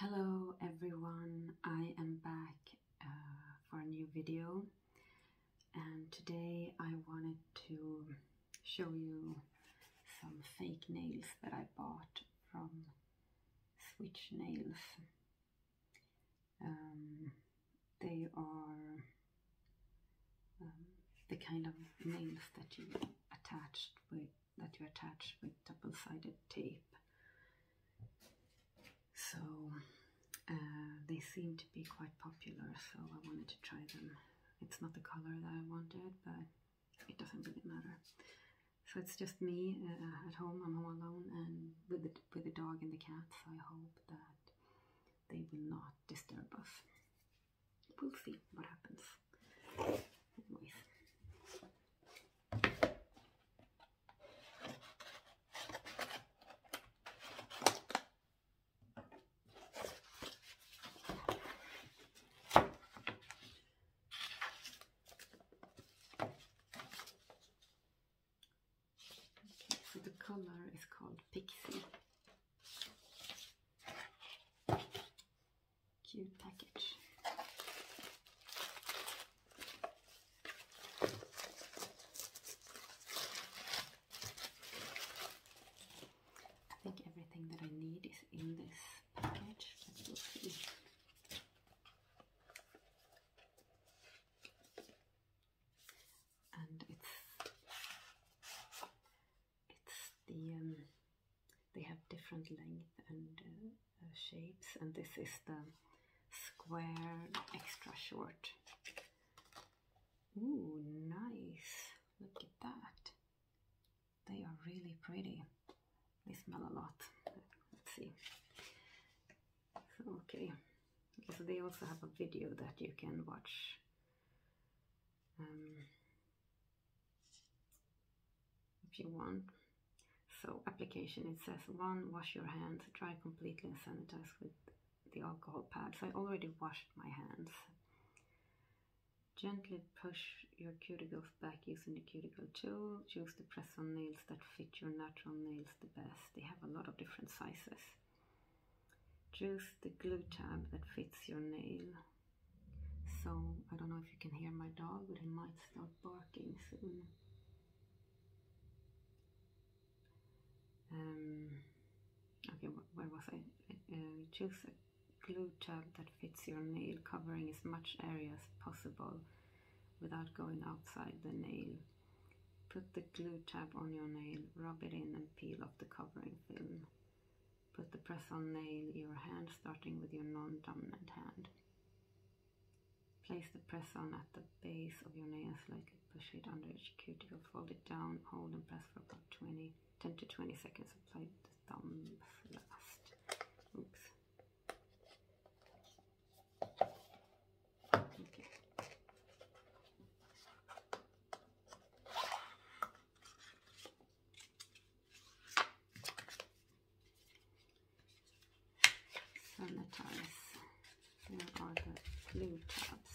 Hello everyone, I am back uh, for a new video and today I wanted to show you some fake nails that I bought from Switch Nails. Um, they are um, the kind of nails that you attached with that you attach with double-sided tape. So uh, they seem to be quite popular, so I wanted to try them. It's not the color that I wanted, but it doesn't really matter. So it's just me uh, at home. I'm all alone and with with the dog and the cat. So I hope that they will not disturb us we'll see what happens. so the color is called Pixie cute package. I think everything that I need is in this package, but we see. And it's it's the um, they have different length and uh, uh, shapes, and this is the square extra short. Ooh, nice! Look at that. They are really pretty. They smell a lot. Let's see. okay. okay. So they also have a video that you can watch. Um, if you want. So application, it says one, wash your hands, dry completely and sanitize with the alcohol pad. So I already washed my hands. Gently push your cuticles back using the cuticle tool. Choose the press on nails that fit your natural nails the best. They have a lot of different sizes. Choose the glue tab that fits your nail. So I don't know if you can hear my dog, but he might start barking soon. Um, okay, where was I? Uh, choose a glue tab that fits your nail, covering as much area as possible without going outside the nail. Put the glue tab on your nail, rub it in and peel off the covering film. Put the press on nail your hand starting with your non-dominant hand. Place the press on at the base of your nail, slightly push it under each will fold it down, hold and press for about 20, 10 to 20 seconds. Apply the thumbs last. Oops. Okay sanitize. Here are the blue tabs.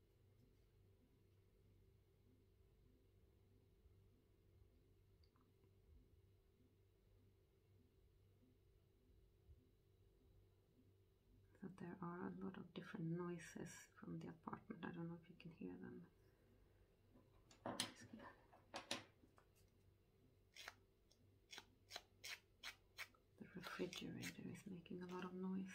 So there are a lot of different noises from the apartment. I don't know if you can hear them. The refrigerator is making a lot of noise.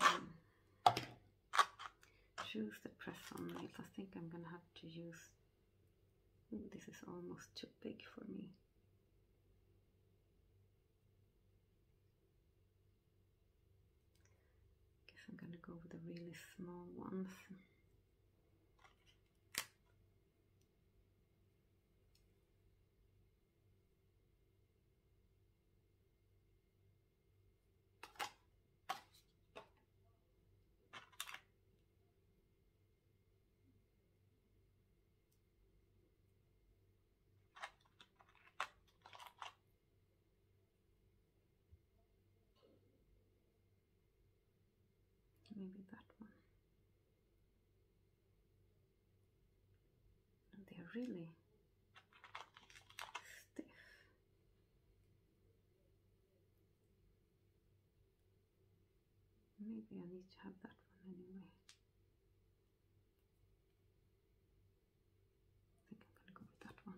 Um, some the press on nails. I think I'm gonna have to use. this is almost too big for me. Guess I'm gonna go with the really small ones maybe that one they are really Maybe I need to have that one anyway. I think I'm gonna go with that one.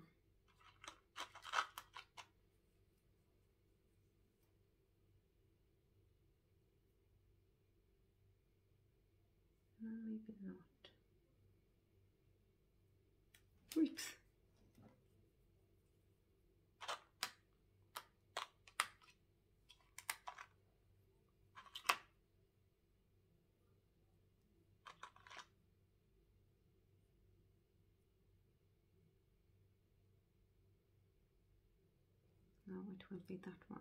No, maybe not. Oops. Now it will be that one.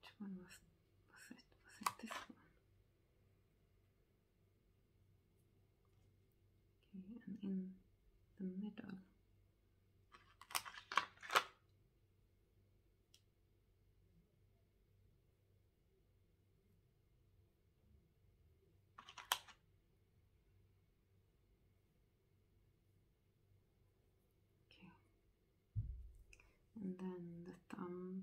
Which one was was it? Was it this one? Okay, and in the middle. Okay and then the thumb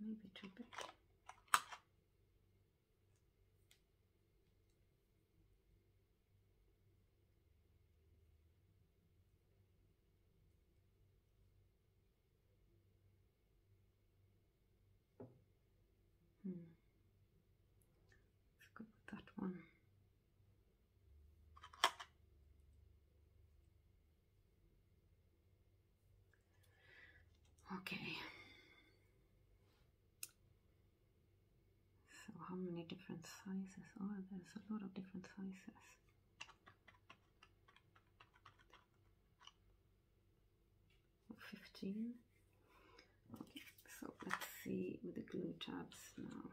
maybe too big Hmm. Let's go with that one. Okay. So how many different sizes are oh, there's a lot of different sizes. Fifteen. Okay, so let's see with the glue tabs now.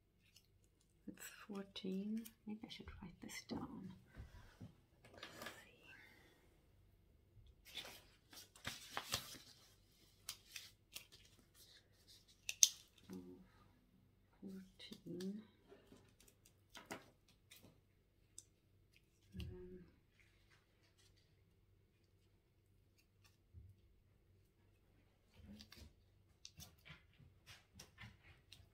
It's 14. Maybe I should write this down. Fourteen.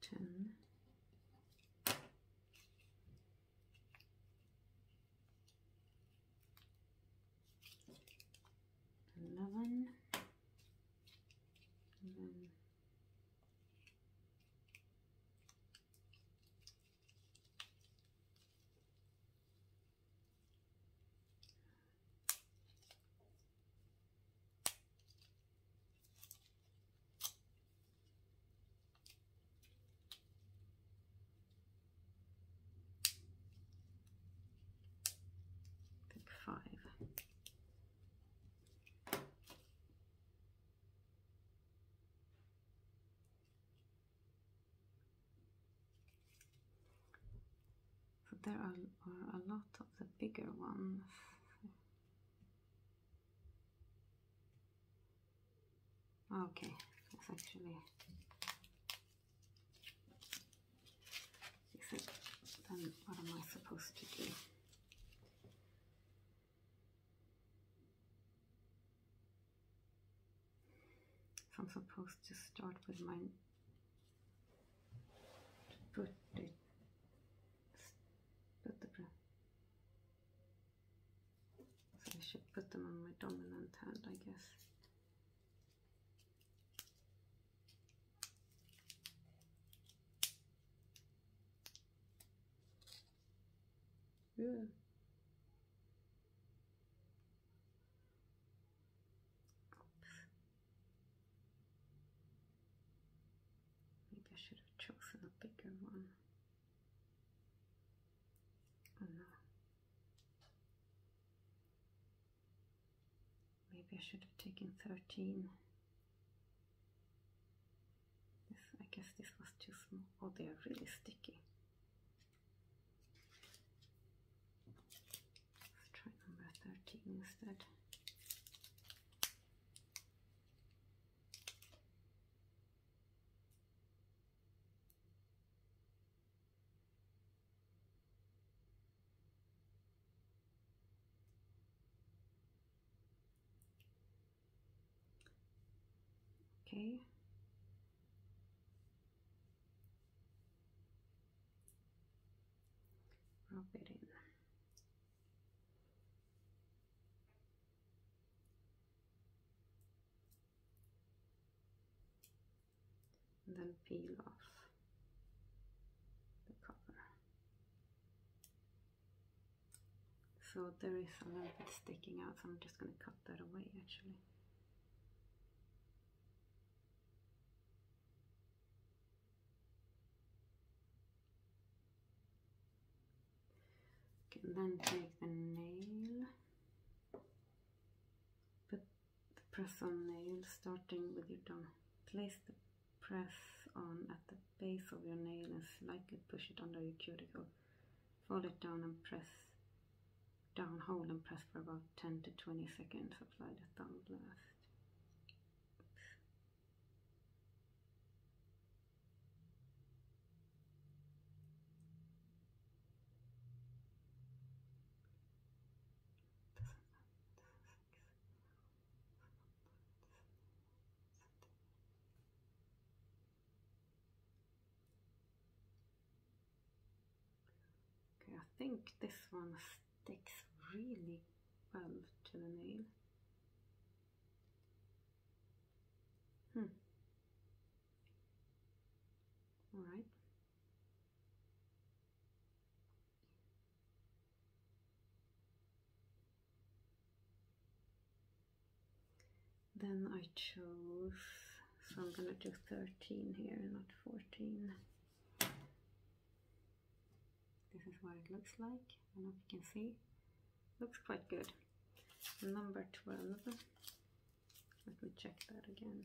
10 11 Think five. So there are, a lot of the bigger ones. Okay, it's actually then what am I supposed to do? So I'm supposed to start with my put it put the so I should put them on my dominant hand I guess yeah Maybe I should have chosen a bigger one. Oh no. Maybe I should have taken 13. This, I guess this was too small. Oh, they are really sticky. Let's try number 13 instead. Okay rub it in. And then peel off the cover. So there is a little bit sticking out, so I'm just going to cut that away actually. You then take the nail, put the press on nail starting with your thumb. Place the press on at the base of your nail and slightly push it under your cuticle. Fold it down and press down hold and press for about 10 to 20 seconds, apply the thumb blast. Okay, I think this one sticks really well to the nail. Hmm. All right. Then I chose, so I'm gonna do 13 here, not 14 this is what it looks like I don't know if you can see looks quite good number 12 let me check that again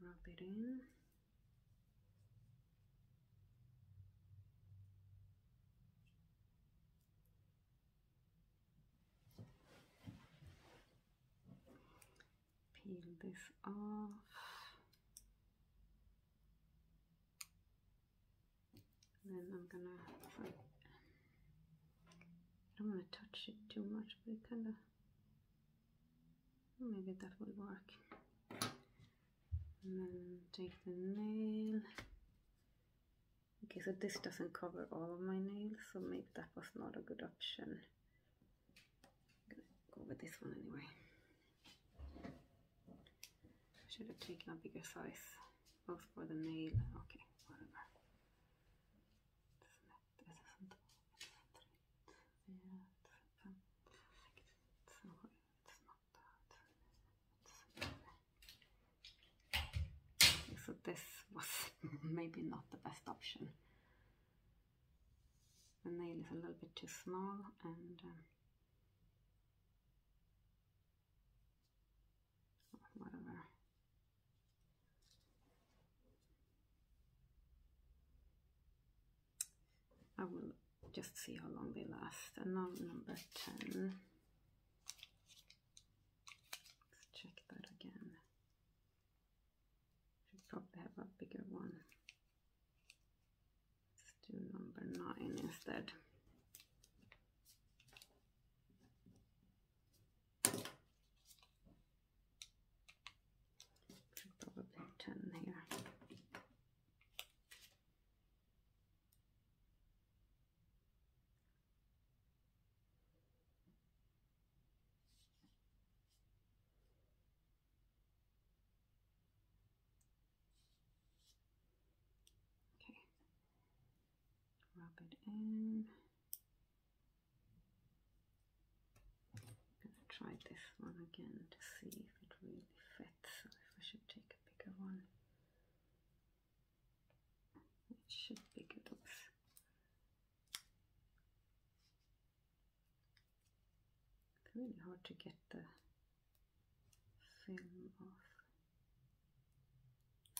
Rub it in peel this off. then I'm gonna, I don't wanna touch it too much, but it kinda, maybe that will work. And then take the nail. Okay, so this doesn't cover all of my nails, so maybe that was not a good option. I'm gonna go with this one anyway. I should have taken a bigger size, both for the nail. Okay, whatever. So this was maybe not the best option the nail is a little bit too small and um, whatever. I will just see how long they last. And now number 10. Let's check that again. Should probably have a bigger one. Let's do number nine instead. Should probably ten here. Okay, drop it in. I'm gonna try this one again to see if it really fits if I should take a bigger one. It should be good. Oops. It's really hard to get the film off.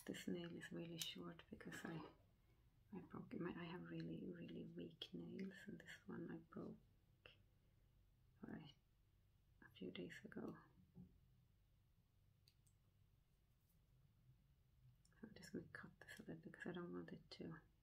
This nail is really short because I I broke my I have really really weak nails and this one I broke uh, a few days ago. I'm just gonna cut this a bit because I don't want it to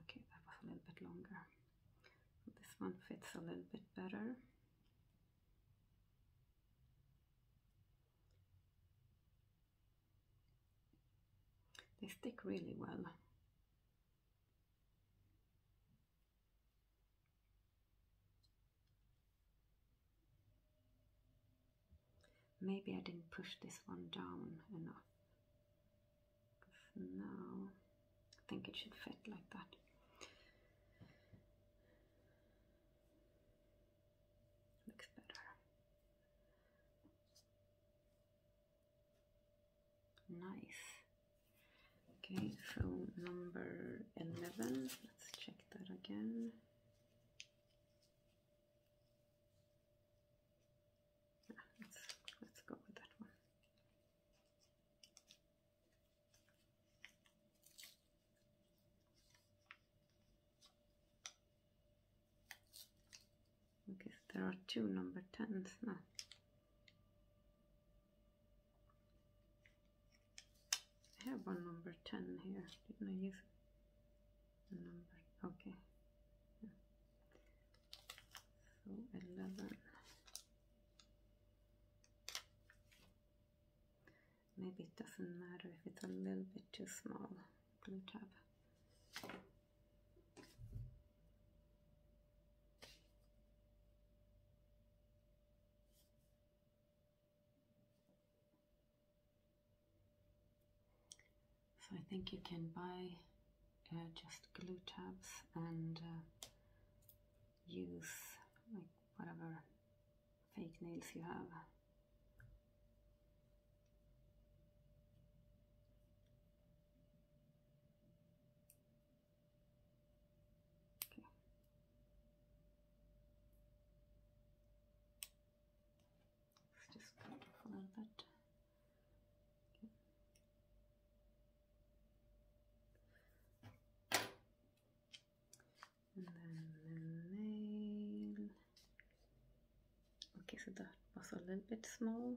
okay, that was a little bit longer. this one fits a little bit better. They stick really well. Maybe I didn't push this one down enough. Now I think it should fit like that. Looks better. Nice. Okay, so number 11. Let's check that again. Ah, let's, let's go with that one because there are two number 10s now. I have one number 10 here, didn't I use a number? Okay. So 11. Maybe it doesn't matter if it's a little bit too small. Blue tab. So I think you can buy uh, just glue tabs and uh, use like whatever fake nails you have. Okay. Let's just go a little bit. And then the nail. Okay, so that was a little bit small.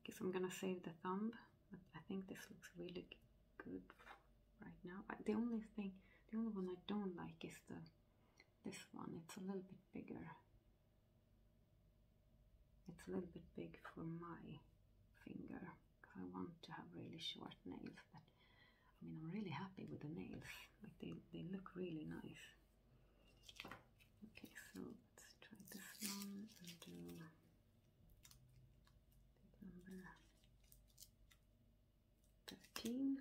Okay, so I'm gonna save the thumb. but I think this looks really good right now. The only thing, the only one I don't like is the this one. It's a little bit bigger. It's a little bit big for my finger I want to have really short nails. But I mean, I'm really happy with the nails. Like they, they look really nice. Okay, so Let's try this one and do number 13.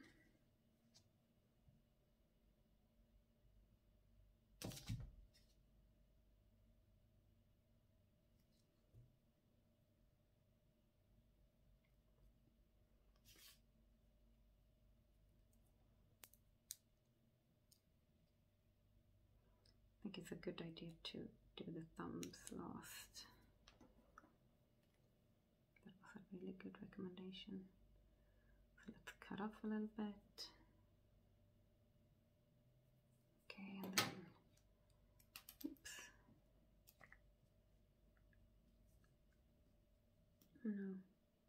I think it's a good idea to do the thumbs last. That was a really good recommendation. let's cut off a little bit. Okay, oops. Oh, no, 1001, 1002, 1003, 1004, 1005, 1006, 1007, 1008, 1009, 1010, 11, 12, 13, 14, 15, 16. Okay.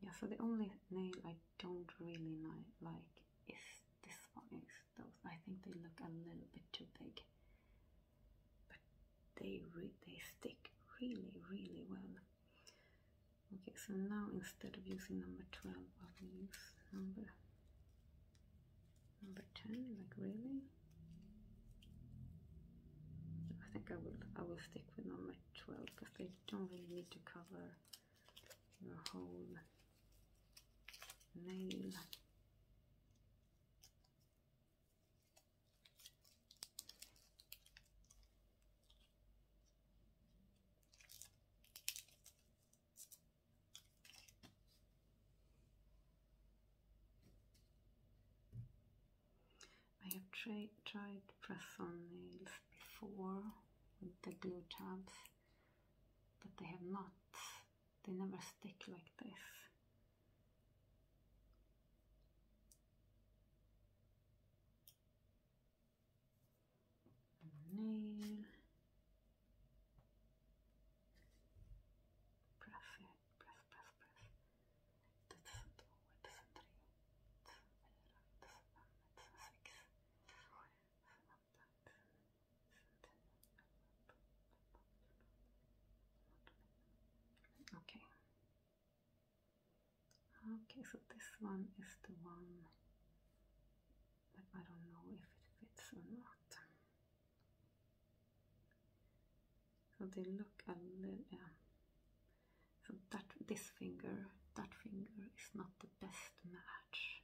Yeah, so the only nail I don't really like is this one. Is those. I think they look a little bit too big but they they stick really really well. Okay, so now instead of using number twelve, I will use number number ten. Like really, I think I will I will stick with number twelve because they don't really need to cover your whole nail. I have tried tried press-on nails before with the glue tabs, but they have not, they never stick like this name. Press it, press, press, press. It's two, it's three, it's four, it's one, it's six, seven, it's eight, Okay. Okay, so this one is the one that I don't know if it fits or not. So they look a little, yeah. So that this finger, that finger is not the best match.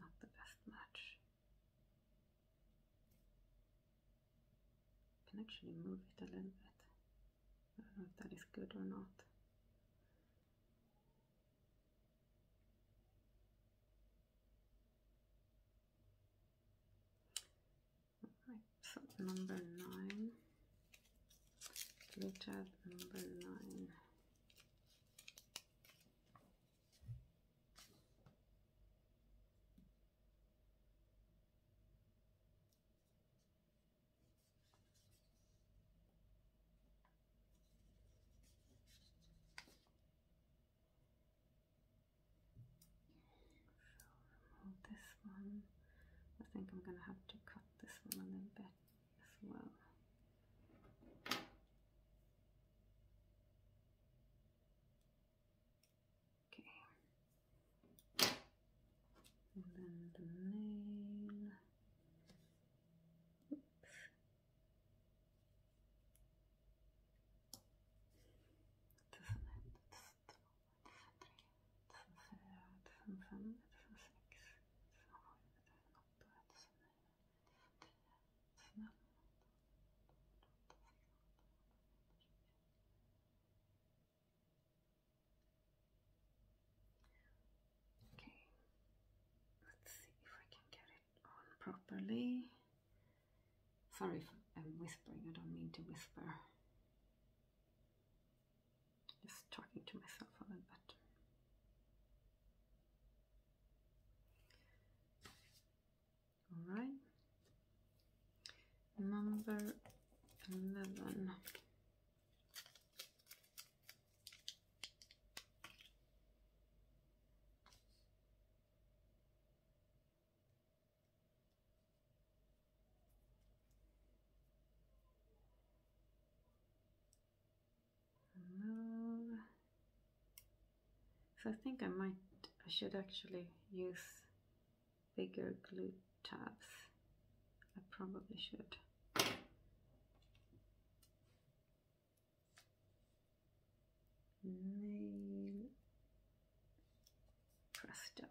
Not the best match. Can actually move it a little bit. I don't know if that is good or not. Right, number nine. Richard and Berline. Remove this. I think I'm gonna have to cut this one a little bit as well. Okay. And then the nail. Oops. Doesn't it stop? Okay, let's see if I can get it on properly. Sorry I'm whispering, I don't mean to whisper. Just talking to myself a little bit. All right. Number 11. Remove. Uh, so I think I might, I should actually use bigger glue tabs. I probably should. Nail press down.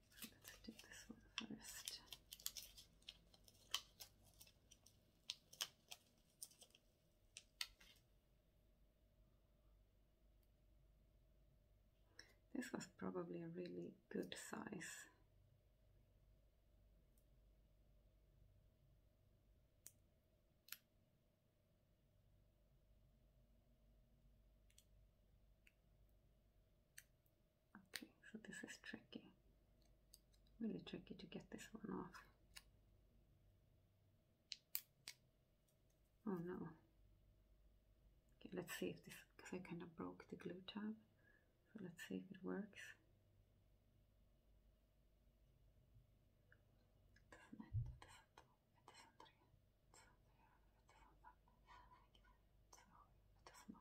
Let's do this one first. This was probably a really good size. Okay, so this is tricky. Really tricky to get this one off. Oh no. Okay, let's see if this, because I kind of broke the glue tab. So let's see if it works.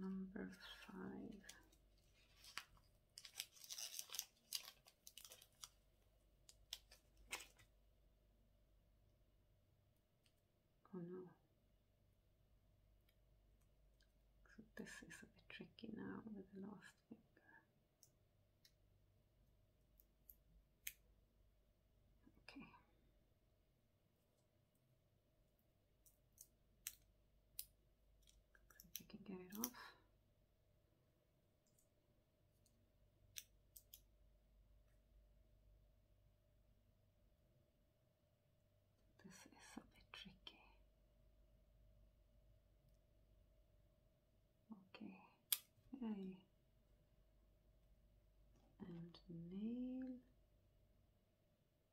number five. Oh no. So this is a bit tricky now with the last finger. Okay. Looks like can get it off. This is a bit tricky. Okay, And nail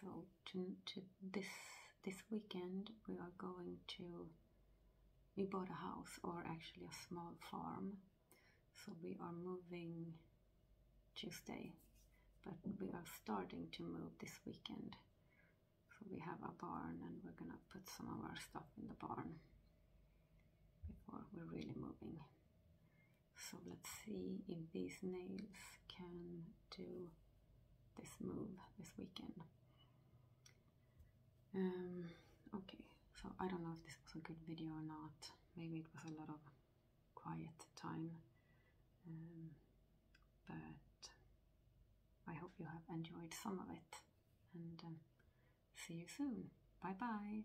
so to, to this this weekend we are going to we bought a house or actually a small farm so we are moving Tuesday but we are starting to move this weekend so we have a barn and we're gonna put some of our stuff in the barn before we're really moving so let's see if these nails can do this move this weekend. Um, okay, so I don't know if this was a good video or not. Maybe it was a lot of quiet time. Um, but I hope you have enjoyed some of it. And um, see you soon. Bye bye.